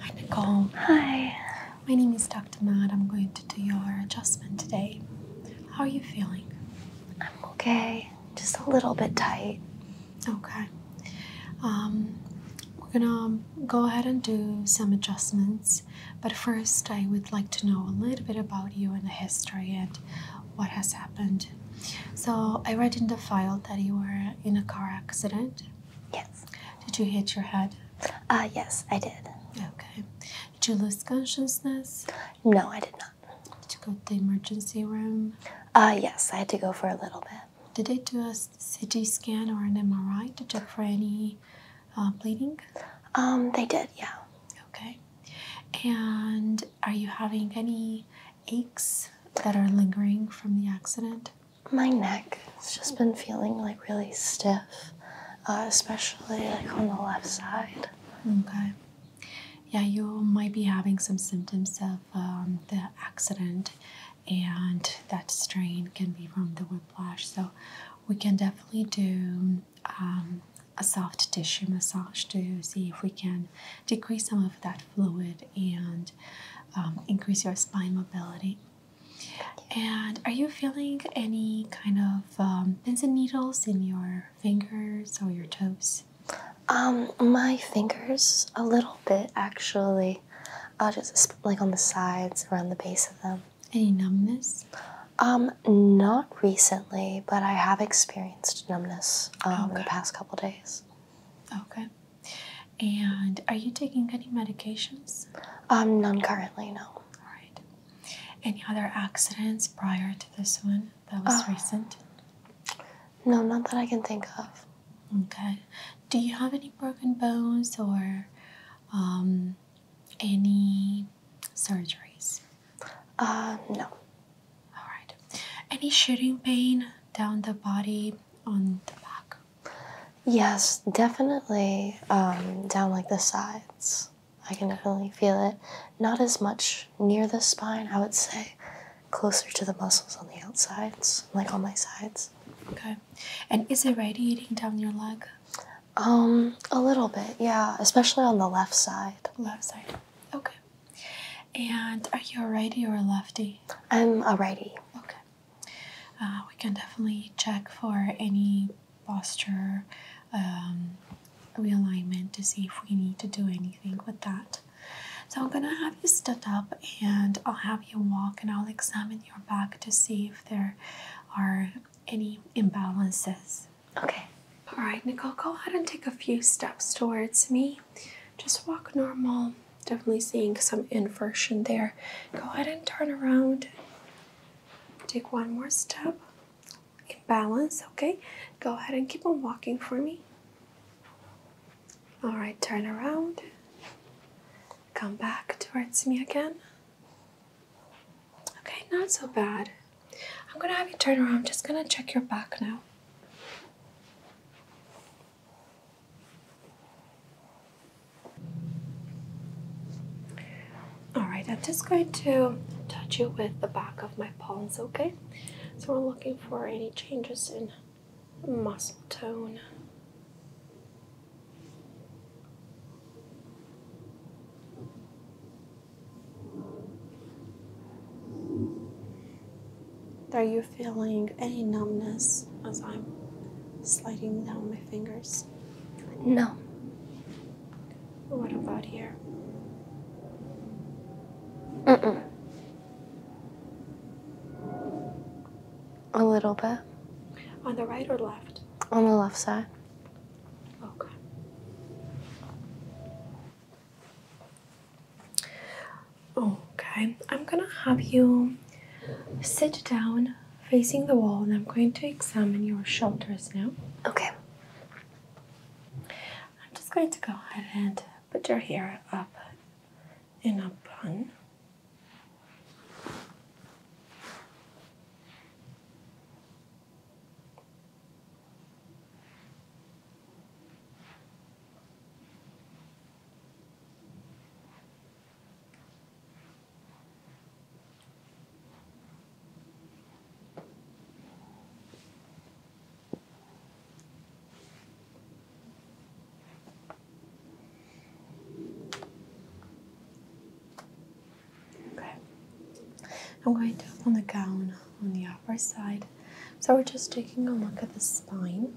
Hi, Nicole. Hi. My name is Dr. Matt. I'm going to do your adjustment today. How are you feeling? I'm okay. Just a little bit tight. Okay. Um, we're gonna go ahead and do some adjustments, but first I would like to know a little bit about you and the history and what has happened. So I read in the file that you were in a car accident Yes. Did you hit your head? Uh, yes, I did. Okay. Did you lose consciousness? No, I did not. Did you go to the emergency room? Uh, yes, I had to go for a little bit. Did they do a CT scan or an MRI to check for any uh, bleeding? Um, they did, yeah. Okay. And are you having any aches that are lingering from the accident? My neck has just been feeling like really stiff, uh, especially like on the left side. Okay. Yeah, you might be having some symptoms of um, the accident, and that strain can be from the whiplash. So, we can definitely do um, a soft tissue massage to see if we can decrease some of that fluid and um, increase your spine mobility. And are you feeling any kind of um, pins and needles in your fingers or your toes? Um, my fingers a little bit actually. I'll just like on the sides, around the base of them. Any numbness? Um, not recently, but I have experienced numbness um, in the past couple days. Okay. And are you taking any medications? Um, none currently, no. All right. Any other accidents prior to this one that was ah. recent? No, not that I can think of. Okay. Do you have any broken bones or um, any surgeries? Uh, no. All right. Any shooting pain down the body, on the back? Yes, definitely um, down like the sides. I can definitely feel it. Not as much near the spine, I would say. Closer to the muscles on the outsides, like on my sides. Okay. And is it radiating down your leg? Um, a little bit, yeah. Especially on the left side. Left side. Okay. And are you a righty or a lefty? I'm a righty. Okay. Uh, we can definitely check for any posture um, realignment to see if we need to do anything with that. So I'm gonna have you stood up and I'll have you walk and I'll examine your back to see if there are any imbalances. Okay. All right, Nicole, go ahead and take a few steps towards me. Just walk normal definitely seeing some inversion there. Go ahead and turn around. Take one more step in balance, okay? Go ahead and keep on walking for me. All right, turn around. Come back towards me again. Okay, not so bad. I'm gonna have you turn around. I'm just gonna check your back now. Alright, I'm just going to touch you with the back of my palms, okay? So we're looking for any changes in muscle tone. Are you feeling any numbness as I'm sliding down my fingers? No. What about here? Mm-mm. A little bit. On the right or left? On the left side. Okay. Okay, I'm gonna have you sit down facing the wall, and I'm going to examine your shoulders now. Okay. I'm just going to go ahead and put your hair up in a bun. Okay, I'm going to open the gown on the upper side. So we're just taking a look at the spine.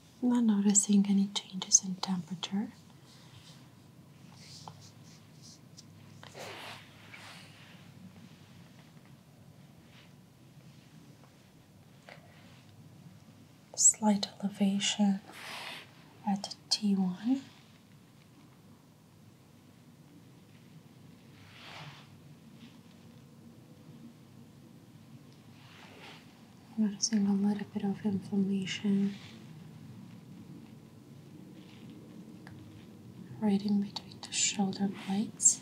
not noticing any changes in temperature. Slight elevation at T1. Noticing a little bit of inflammation right in between the shoulder blades.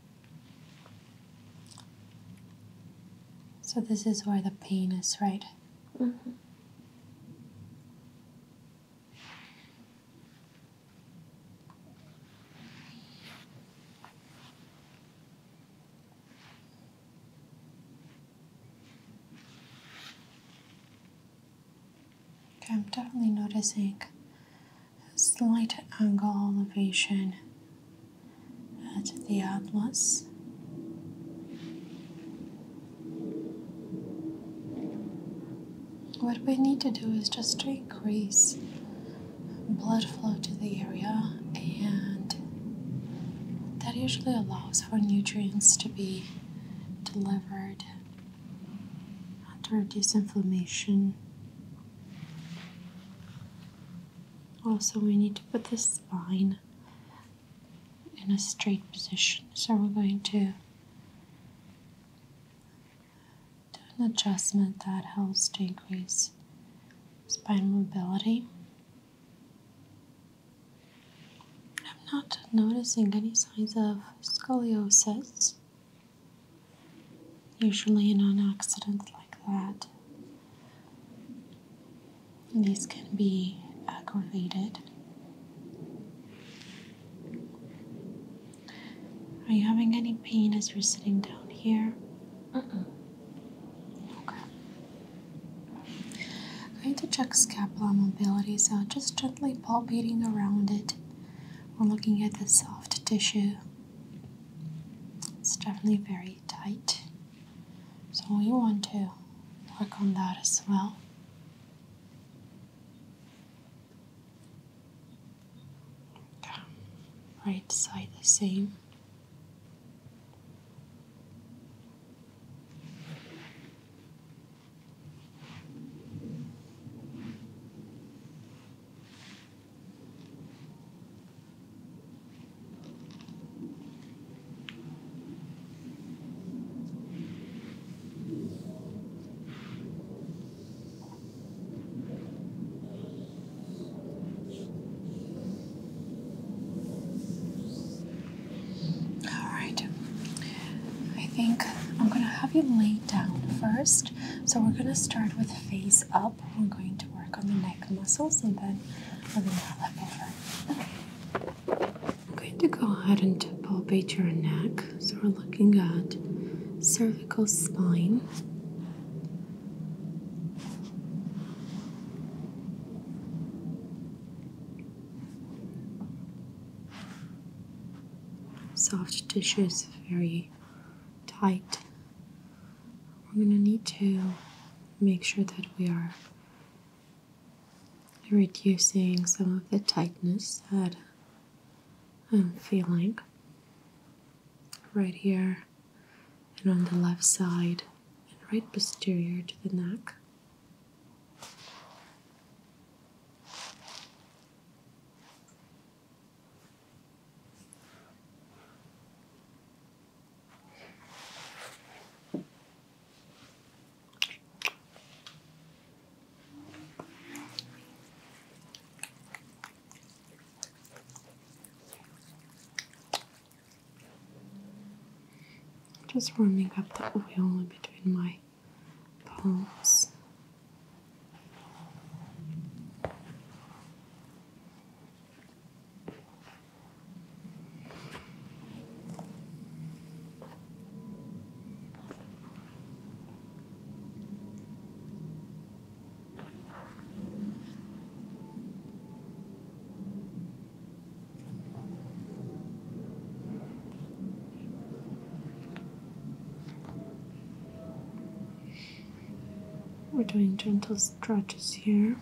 So this is where the pain is, right? Okay, I'm definitely noticing a slight angle elevation at the atlas. What we need to do is just to increase blood flow to the area, and that usually allows for nutrients to be delivered and to reduce inflammation. Also, we need to put the spine in a straight position. So we're going to do an adjustment that helps decrease spine mobility. I'm not noticing any signs of scoliosis. Usually, in an accident like that, this can be aggravated. Are you having any pain as you're sitting down here? Mm -mm. Okay. I need to check scapula mobility, so just gently palpating around it. We're looking at the soft tissue. It's definitely very tight. So we want to work on that as well. Right side the same. All right. I think I'm going to have you lay down first. So we're going to start with face up. I'm going to work on the neck muscles and then I'll bring that lip over. I'm going to go ahead and palpate your neck. So we're looking at cervical spine. Soft tissues, very tight. I'm going to need to make sure that we are reducing some of the tightness that I'm feeling right here and on the left side and right posterior to the neck. Just warming up the oil between my palms. We're doing gentle stretches here.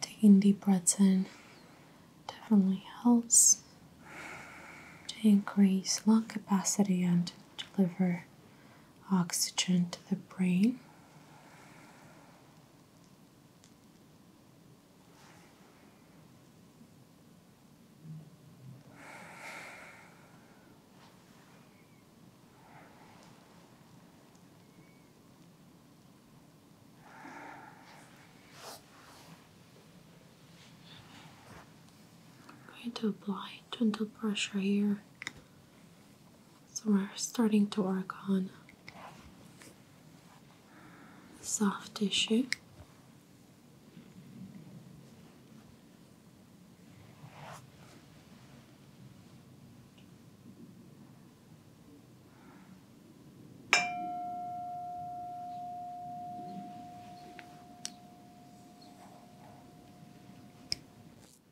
Taking deep breaths in definitely helps to increase lung capacity and deliver oxygen to the brain. I'm going to apply gentle pressure here so we're starting to work on soft tissue.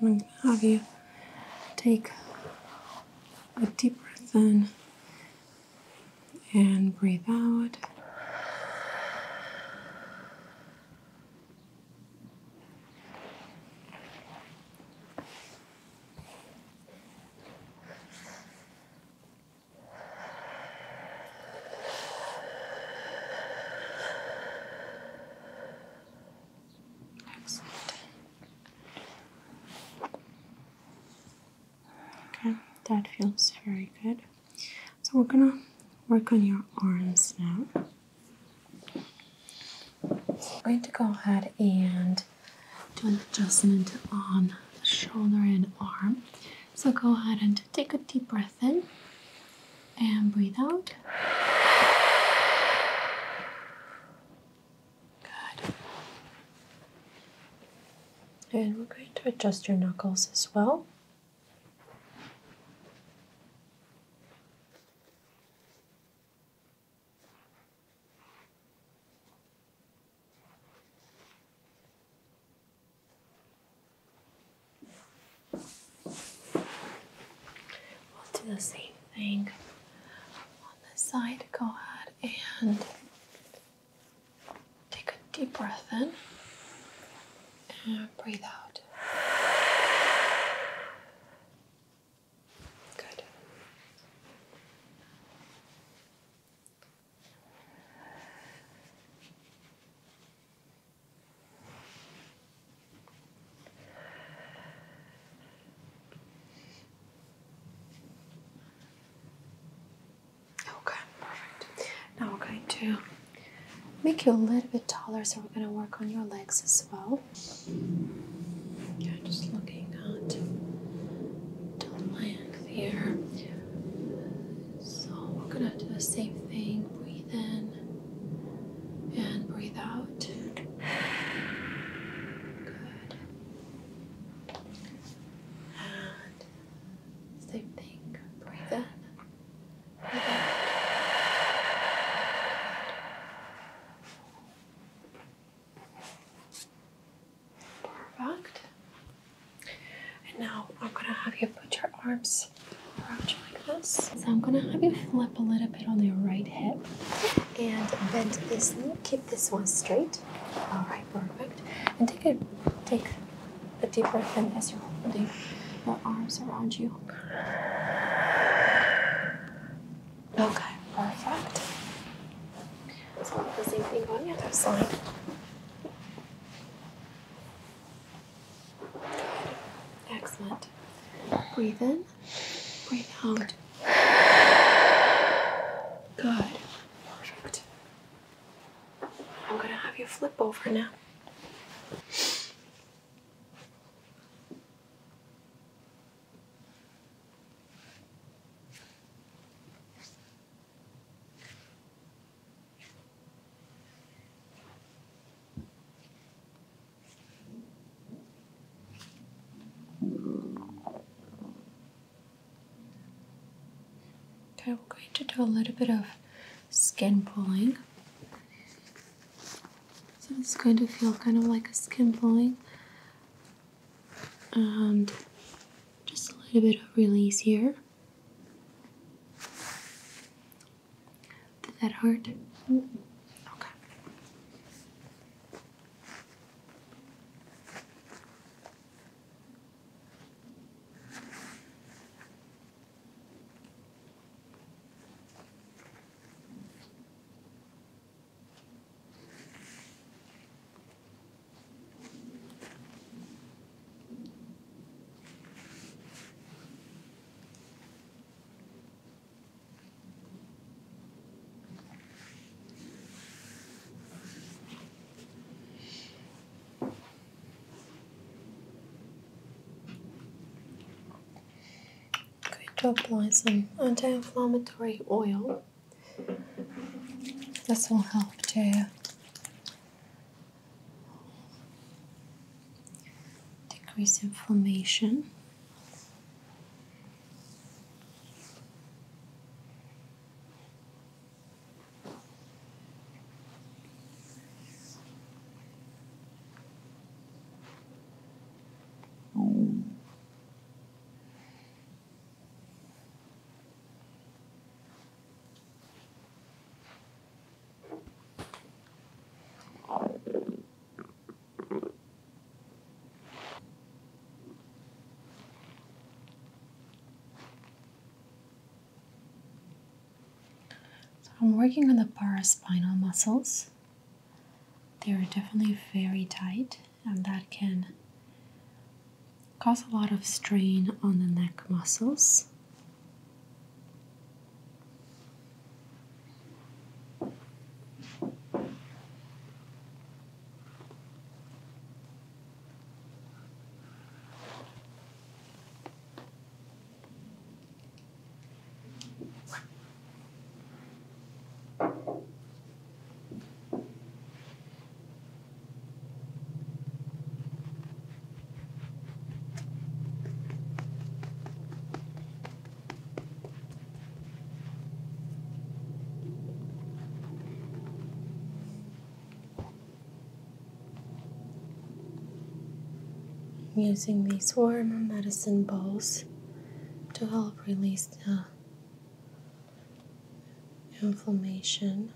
I'm going to have you take a deep breath in and breathe out. Okay, that feels very good. So we're gonna work on your arms now. I'm going to go ahead and do an adjustment on the shoulder and arm. So go ahead and take a deep breath in and breathe out. Good. And we're going to adjust your knuckles as well. We'll do the same thing on this side. Go ahead and take a deep breath in and breathe out. Good. Okay, perfect. Now we're going to make you a little bit taller, so we're going to work on your legs as well. Yeah, just looking at the length here. So we're gonna do the same thing. Breathe in and breathe out. Good. And same thing. Breathe in. Perfect. And now I'm gonna have you put your arms around you like this. So I'm gonna have you flip a little bit on your right hip and bend this Keep this one straight. All right, perfect. And take a take a deep breath in as you're holding your arms around you. Okay, perfect. Let's the same thing on the other side. Good. Excellent. Breathe in, breathe out. Good. Perfect. I'm going to have you flip over now. Okay, we're going to do a little bit of skin pulling. So it's going to feel kind of like a skin pulling. And just a little bit of release here. Did that hurt? Okay. Going to apply some anti-inflammatory oil. This will help to decrease inflammation. I'm working on the paraspinal muscles. They are definitely very tight, and that can cause a lot of strain on the neck muscles. I'm using these warm medicine balls to help release the inflammation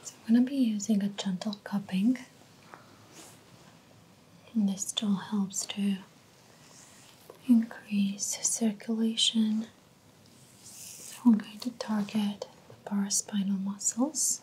So I'm going to be using a gentle cupping, and this still helps too increase circulation. So we're going to target the paraspinal muscles.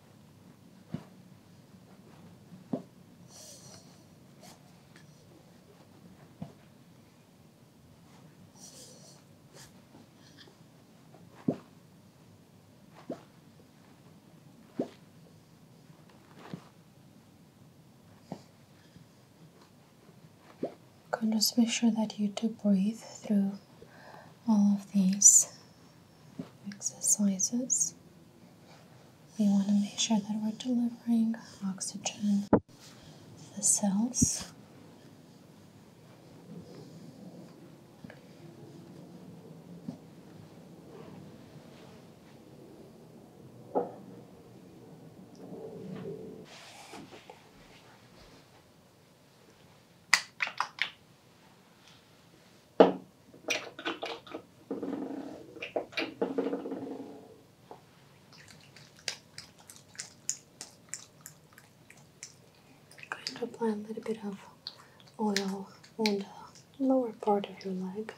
Can just make sure that you do breathe through all of these exercises, we want to make sure that we're delivering oxygen to the cells. Going to apply a little bit of oil on the lower part of your leg.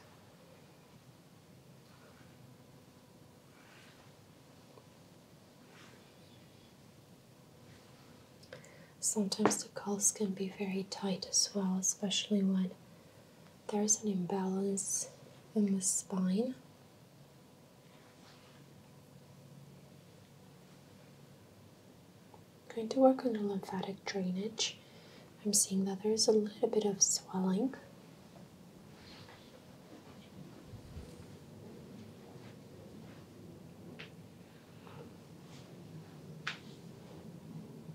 Sometimes the calves can be very tight as well, especially when there's an imbalance in the spine. going to work on the lymphatic drainage. I'm seeing that there's a little bit of swelling.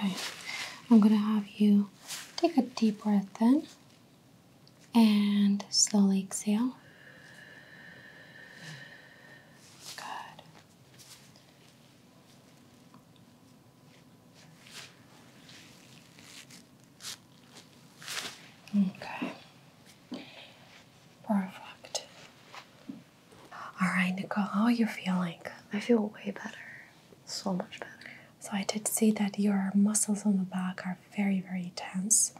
Okay, I'm gonna have you take a deep breath in and slowly exhale. Good. Okay. Perfect. All right, Nicole, how are you feeling? I feel way better. So much better. So I did see that your muscles on the back are very, very tense.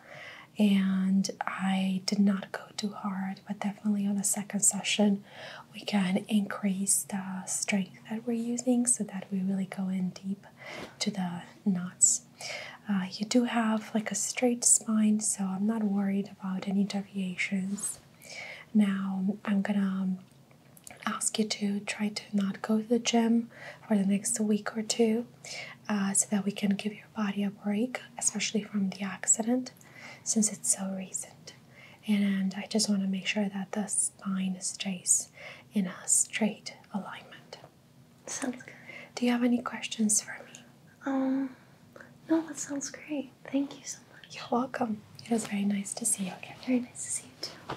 And I did not go too hard, but definitely on the second session, we can increase the strength that we're using so that we really go in deep to the knots. Uh, you do have like a straight spine, so I'm not worried about any deviations. Now I'm gonna ask you to try to not go to the gym for the next week or two uh, so that we can give your body a break, especially from the accident since it's so recent. And I just want to make sure that the spine stays in a straight alignment. Sounds good. Do you have any questions for me? Um, no, that sounds great. Thank you so much. You're welcome. It was very nice to see you again. Very nice to see you too.